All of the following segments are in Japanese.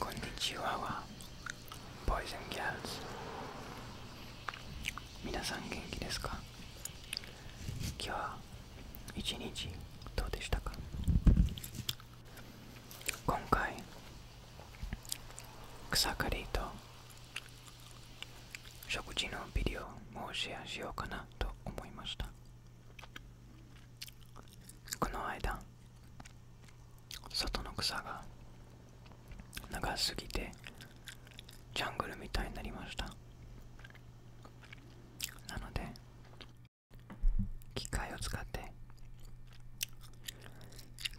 こんにちは。c h Boys and Girls 皆さん元気ですか今日一日どうでしたか今回草刈りと食事のビデオもシェアしようかなと思いましたこの間外の草が長すぎてジャングルみたいになりましたなので機械を使って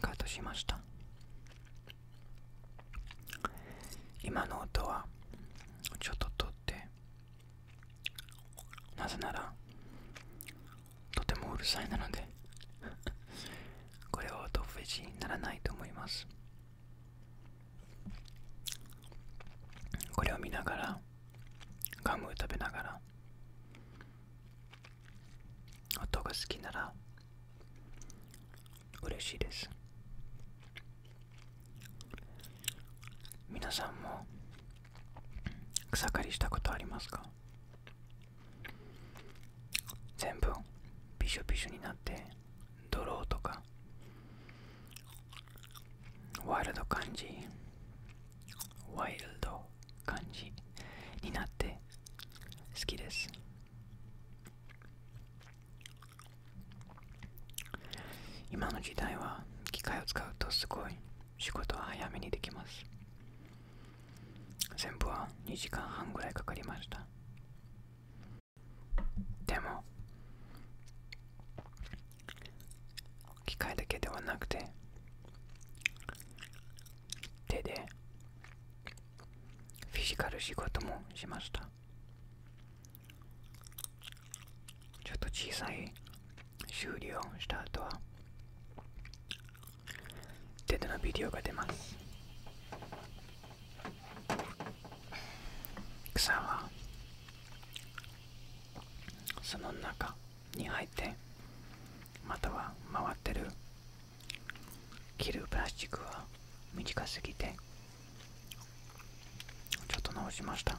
カットしました今の音はちょっと取ってなぜならとてもうるさいなので これは音フェチにならないと思いますこれを見ながらガムを食べながら音が好きなら嬉しいです皆さんも草刈りしたことありますか全部びしょびしょになってドローとかワイルド漢字。ワイルド漢字。になって好きです今の時代は機械を使うとすごい仕事は早めにできます全部は2時間半ぐらいかかりましたでも機械だけではなくて手でフィジカル仕事もしましたちょっと小さい修理をした後はデッドのビデオが出ます草はその中に入ってまたは回ってる切るプラスチックは短すぎてちょっと直しました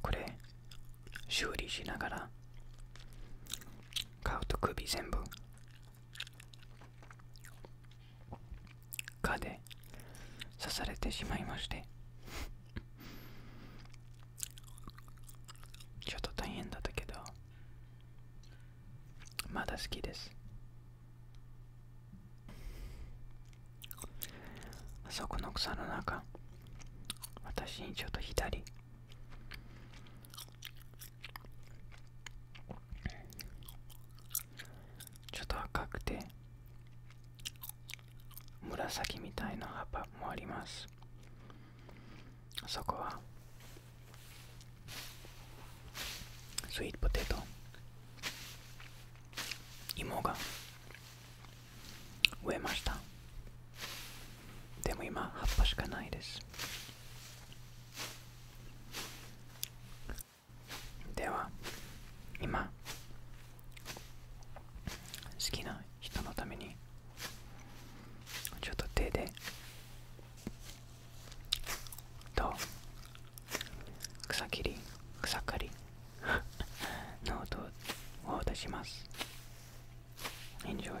これ修理しながら顔と首全部蚊で刺されてしまいまして ちょっと大変だったけどまだ好きですあそこの草の中私にちょっと左ちょっと赤くて紫みたいな葉っぱもありますあそこはスイートポテト芋が植えましたでも今葉っぱしかないですでは今好きな人のためにちょっと手でと草切り草刈り の音を出します Enjoy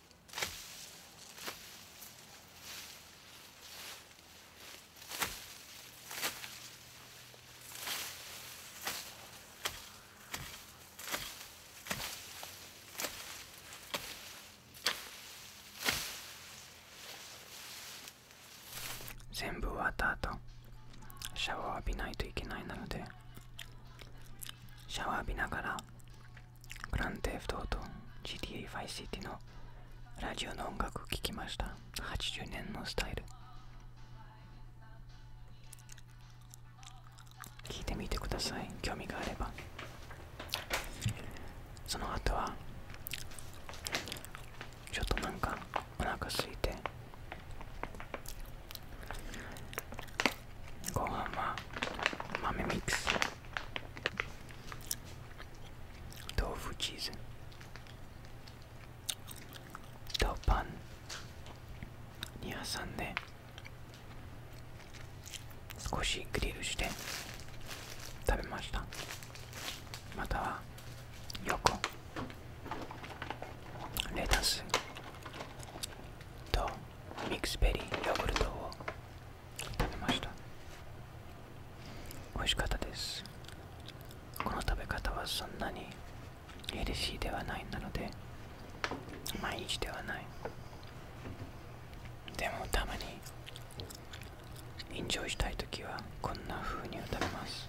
全部終わった後シャワーを浴びないといけないなのでシャワー浴びながらグランデフトと GTA 5 City のラジオの音楽を聴きました80年のスタイル聴いてみてください興味があればその後はちょっとなんかお腹すいてご飯は豆ミックス豆腐チーズとパンに挟んで少しグリルして食べましたまたは横レタスとミックスベリーヨーグルトを食べました美味しかったですこの食べ方はそんなにヘルシーではないなので毎日ではないでもたまにエンジョイしたい時はこんな風に食べます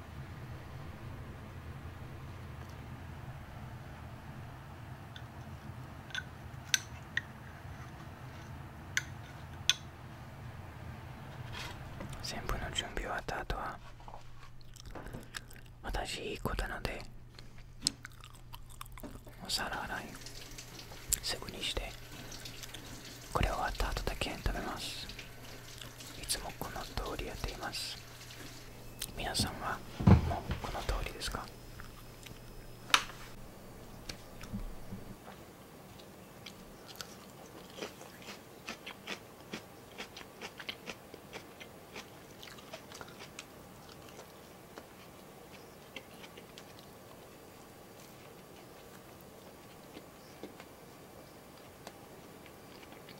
全部の準備終わった後は私いい子なのでお皿洗いすぐにしてこれ終わった後だけ食べますいつもこの通りやっています皆さんはもうこの通りですか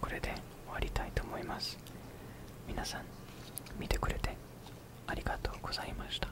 これで終わりたいと思います皆さん見てくれてありがとうございました